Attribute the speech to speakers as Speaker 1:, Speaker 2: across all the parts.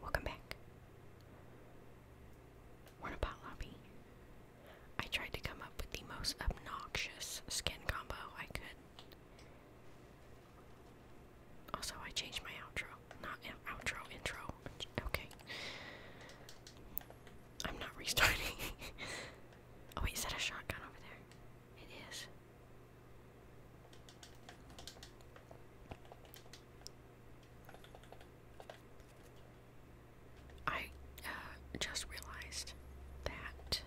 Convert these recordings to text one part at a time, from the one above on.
Speaker 1: Welcome back. We're lobby. I tried to come up with the most obnoxious skin combo I could. Also, I changed my outro. Not outro, intro. Okay. I'm not restarting. oh, wait, is that a shotgun over there? It is. I uh, just realized that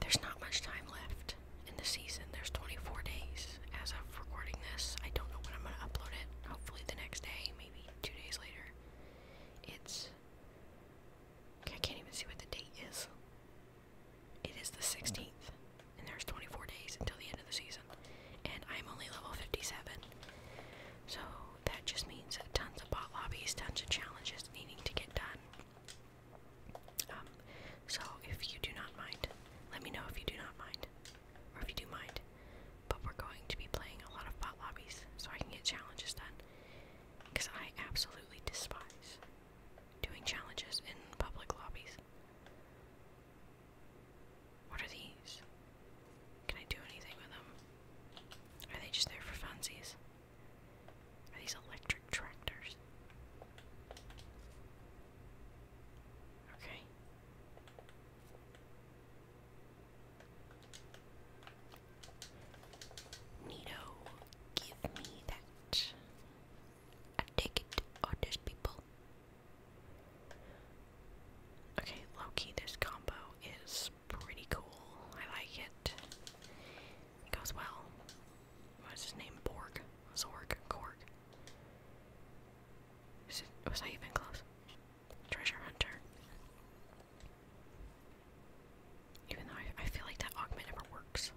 Speaker 1: there's not much time left in the season. There's 24 days as of recording this. I don't know when I'm going to upload it. Hopefully, the next day, maybe two days later. It's. I can't even see what the date is. It is the 16th and there's 24 days until the end of the season, and I'm only level 57. So that just means tons of bot lobbies, tons of challenges needing to get done. Um, so if you do not mind, let me know if you do not mind, or if you do mind. But we're going to be playing a lot of bot lobbies so I can get challenges done, because I absolutely despise doing challenges in public lobbies. What are these? Can I do anything with them? Are they just there for funsies? Are these electric tractors? Okay. Nito, give me that and take it on people. Okay, Loki, this combo is pretty cool. I like it. It goes well. What's his name? Borg? Zorg? Korg? was I even close? Treasure Hunter. Even though I, I feel like that augment never works.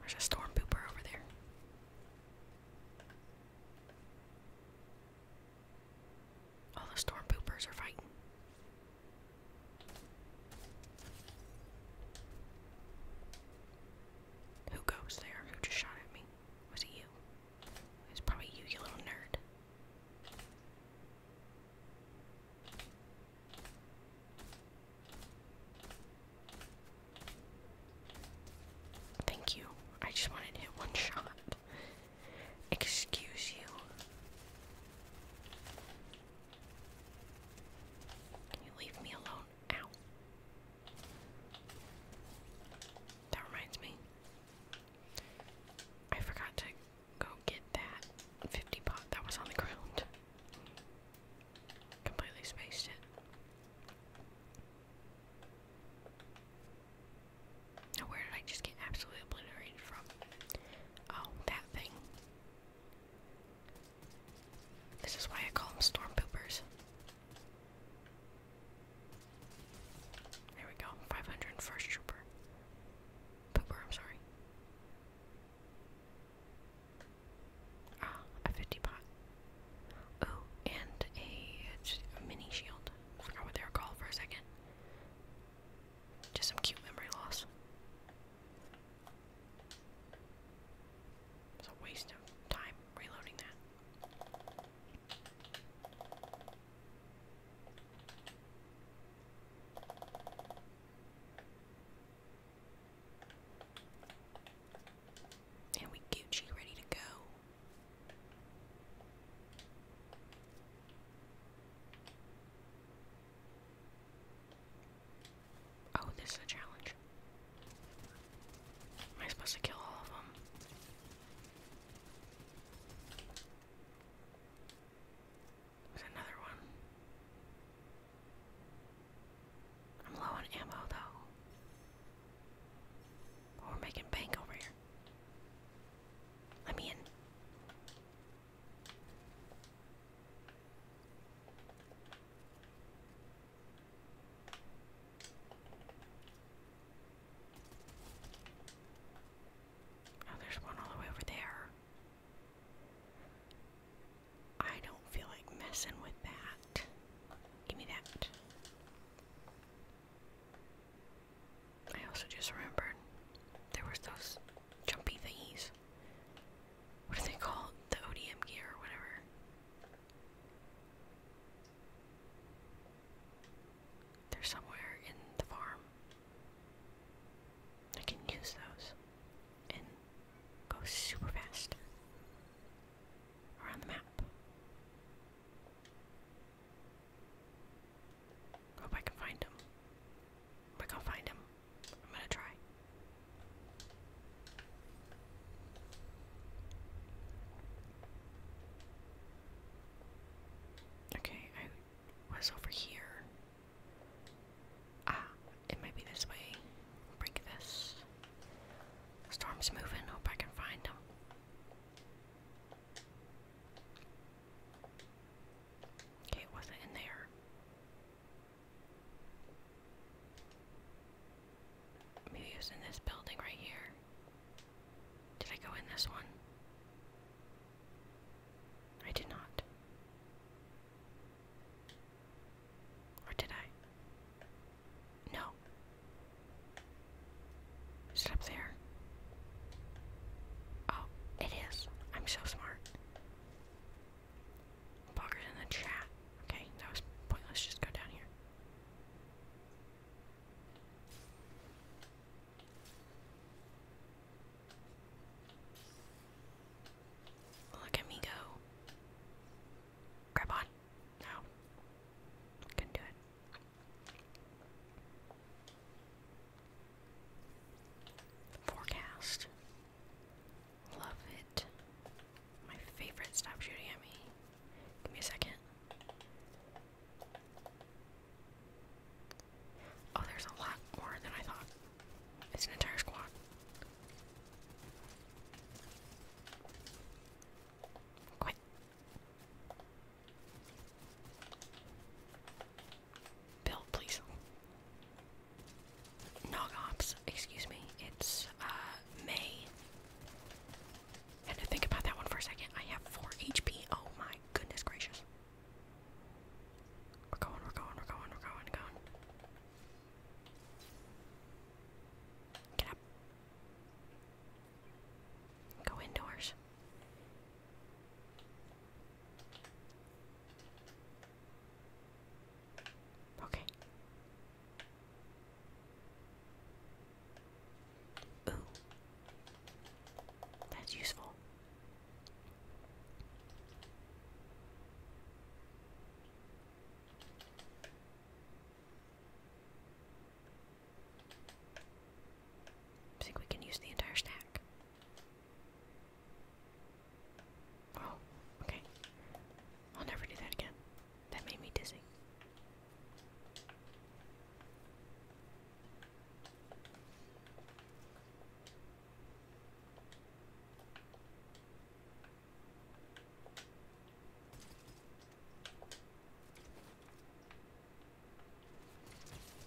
Speaker 1: There's a storm pooper over there. All the storm poopers are fighting. Who goes there? Who just shot at me? Was it you? It's probably you, you little nerd. Thank you. I just wanted to hit one shot. Excuse you. you leave me alone? Ow. That reminds me. I forgot to Go get that. 50 pot. That was on the ground. Completely spaced it. Now, where did I just get absolutely obliterated from? Oh, that thing. This is why I call them storm poopers. There we go. 501st Trooper. Pooper, I'm sorry. Ah, a 50 pot. Oh, and a, mini shield. I forgot what they were called for a second. Just some cute memory loss. It's a waste of time reloading that. And we Gucci ready to go. Oh, this is a challenge. Am I supposed to kill all of them? There's another one. I'm low on ammo, though. we're making bank over here. Let me in. Oh, there's one all the way over there. I don't feel like messing with that. Give me that. I also just remembered there was those jumpy things. What are they called? The ODM gear or whatever. They're somewhere in the farm. I can use those and go super fast around the map. Hope I can find him. We're gonna find him. I'm gonna try. Okay, I was over here. Ah, it might be this way. Break this. Storm's moving. Hope I can find him. Okay, wasn't in there. Maybe it in this building right here. Did I go in this one? I did not. Or did I? No. Is up there? Oh, it is. I'm so smart. Boggers in the chat. Okay, that was pointless. Just go down here. Look at me go. Grab on. No. Couldn't do it. Forecast. Love it. My favorite. Stop shooting at me. Give me a second. Oh, there's a lot more than I thought. It's an entire squad. Quit. Bill, please. Nog excuse me. It's uh May. Had to think about that one for a second. I have four HP. Oh my goodness gracious. We're going, we're going, we're going, we're going, going. Get up. Go indoors. Okay. Ooh. That's useful. I think we can use the entire stack. Oh, okay. I'll never do that again. That made me dizzy.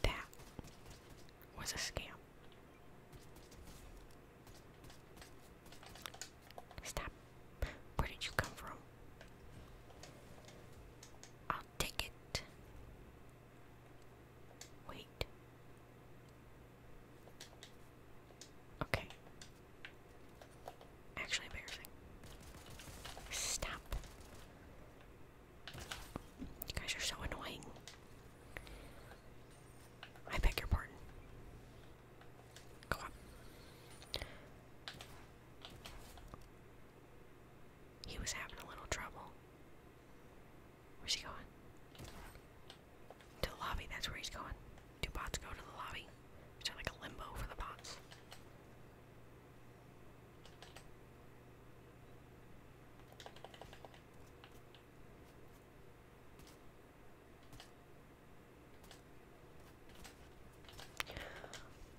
Speaker 1: That was a scam. Stop. Where did you come from? I'll take it. Wait. Okay. Actually embarrassing. Stop. You guys are so annoying. I beg your pardon. Go on. He was having a little trouble. Where's he going? To the lobby, that's where he's going. Two bots go to the lobby? Is there like a limbo for the bots?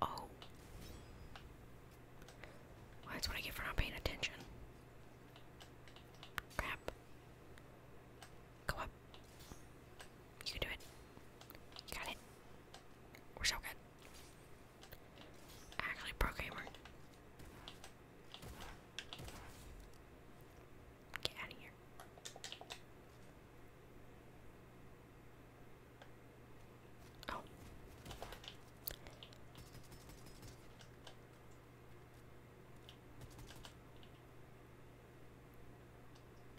Speaker 1: Oh. that's what I get for not paying attention. Crap. Go up. You can do it. You got it. We're so good. Actually, pro Get out of here. Oh.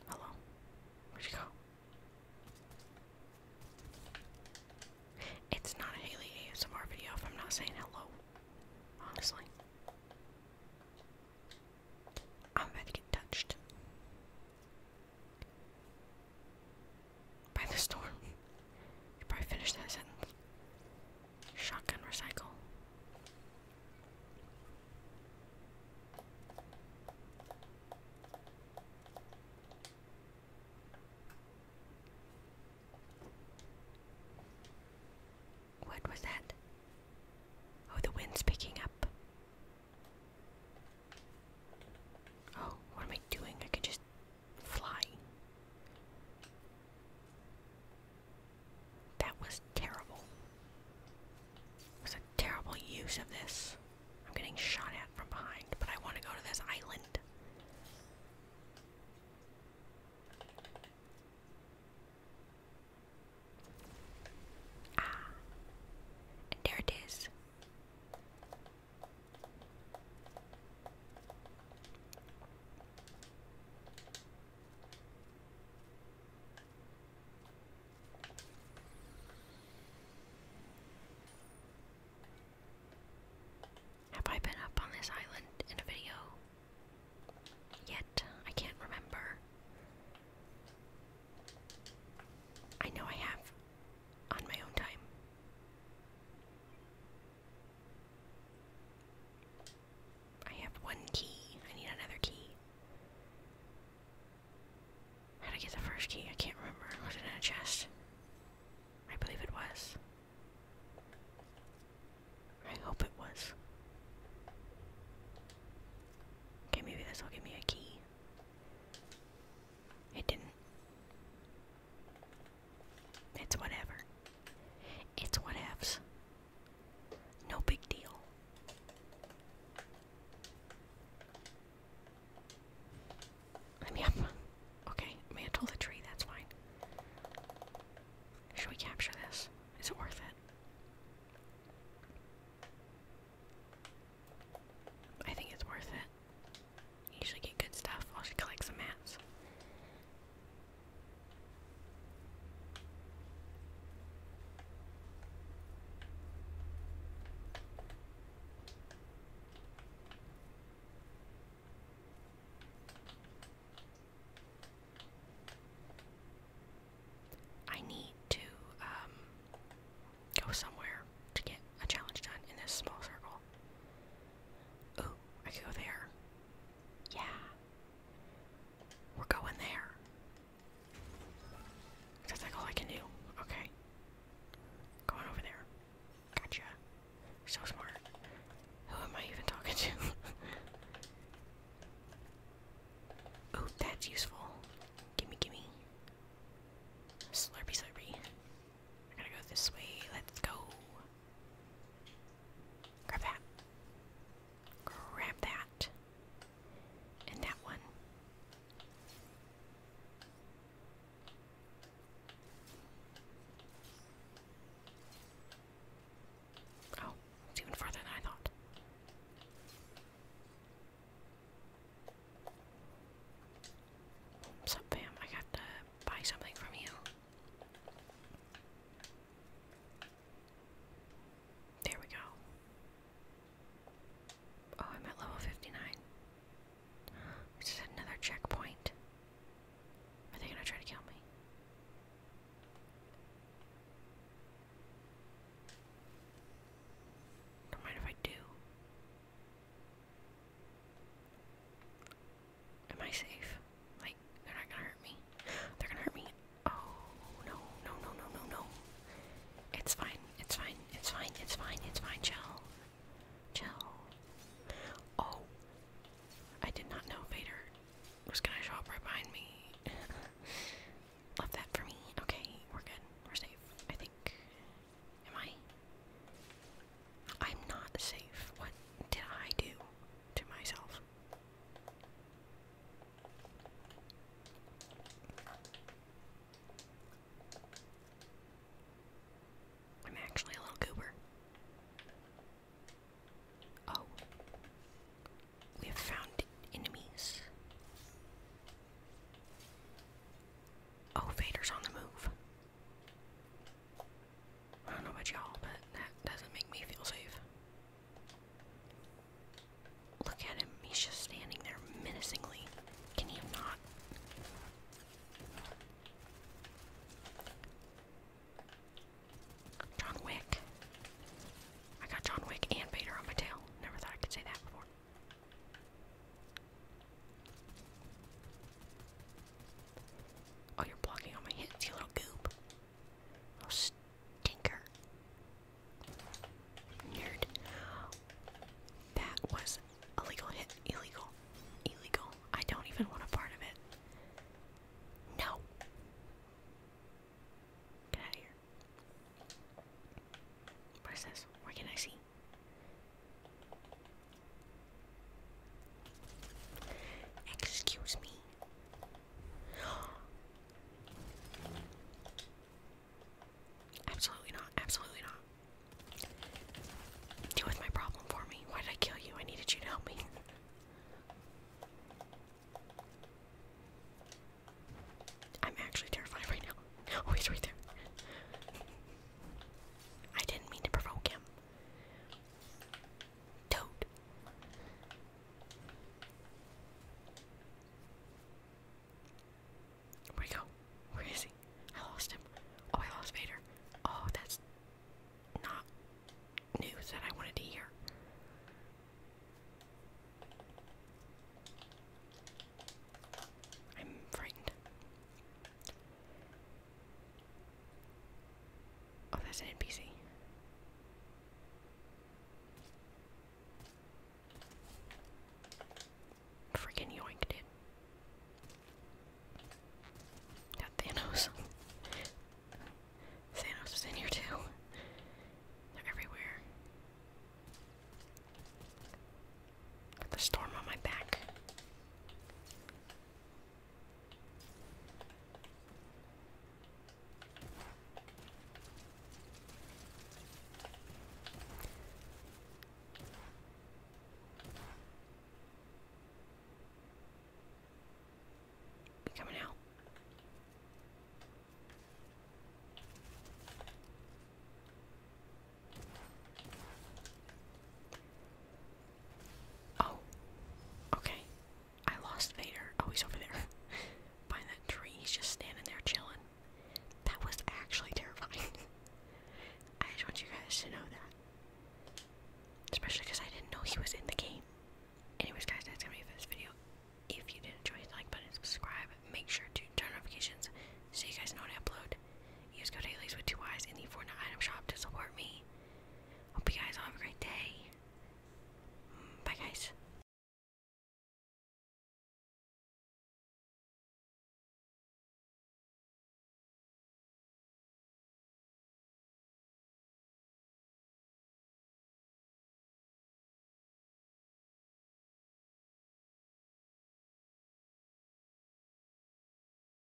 Speaker 1: Hello? Where'd she go? It's not a Haley ASMR video if I'm not saying hello. Honestly. I'm about to get touched. By the storm. You probably finished that sentence. Shotgun recycle. What was that? Oh, the wind's picking up. Oh, what am I doing? I could just flying. That was terrible. was a terrible use of this. I'm getting shot at from behind, but I want to go to this island. Ah. there it is. Have I been up on this island in a video? Yet, I can't remember. I know I have on my own time. I have one key. I need another key. How did I get the first key? I can't remember. Was it in a chest? I believe it was. I hope it was. Okay, maybe this will give me a key. It didn't. It's whatever. It's what ifs. No big deal. I mean, i okay, mantle the tree, that's fine. Should we capture this? Is it worth it? I think it's worth it usually get good stuff while she collects some mats. I need to um, go somewhere to get a challenge done in this small circle. Oh, I can go there. Yeah. We're going there. That's like all I can do. Okay. Going over there. Gotcha. So smart. Who am I even talking to? oh, that's useful. Gimme, gimme. Slurpy, slurpy. I gotta go this way. Let's go. Grab that. Grab that. And that one. Oh, it's even farther than I thought. What's fam? I got to buy something from you. There we go. Oh, I'm at level 59. This is another checkpoint. Are they gonna try to kill me? Don't mind if I do. Am I safe? Like, they're not gonna hurt me. They're gonna hurt me. Oh, no, no, no, no, no, no. It's fine, it's fine, it's fine, it's fine, it's fine, chill. Chill. Oh. I did not know Vader was gonna show up right behind me. Love that for me. Okay, we're good. We're safe, I think. Am I? I'm not safe. What did I do to myself? I'm actually a little goober. Oh. We have found enemies. Oh, Vader's on the move. I don't know about y'all, but that doesn't make me feel safe. Look at him, he's just standing there menacingly. Can you not? John Wick. I got John Wick and Vader on my tail. Never thought I could say that before. Oh, you're blocking all my hits, you little goop. Little stinker. Nerd. That was a hit. Illegal. Illegal. I don't even want a part of it. No. Get out of here. What is this? Where can I see? Excuse me. Absolutely not. Absolutely not. Deal with my problem for me. Why did I kill you? I needed you to help me. I'm actually terrified right now. Oh, he's right there. I didn't mean to provoke him. Toad. Where'd he go? Where is he? I lost him. Oh, I lost Vader. Oh, that's not news that I wanted to hear. I'm frightened. Oh, that's an NPC. Freaking yoinked it. Got Thanos. Thanos was in here too. They're everywhere. Got the storm on my back. Coming out. Oh, okay. I lost Vader. Oh, he's over there by that tree. He's just standing there chilling. That was actually terrifying. I just want you guys to know that. Especially because I didn't know he was in the game. Anyways, guys, that's gonna be it for this video. If you did enjoy, hit like button, subscribe. Make sure to turn notifications so you guys know when I upload. Use code Haley's with two Y's in the Fortnite item shop to support me. Hope you guys all have a great day. Bye, guys.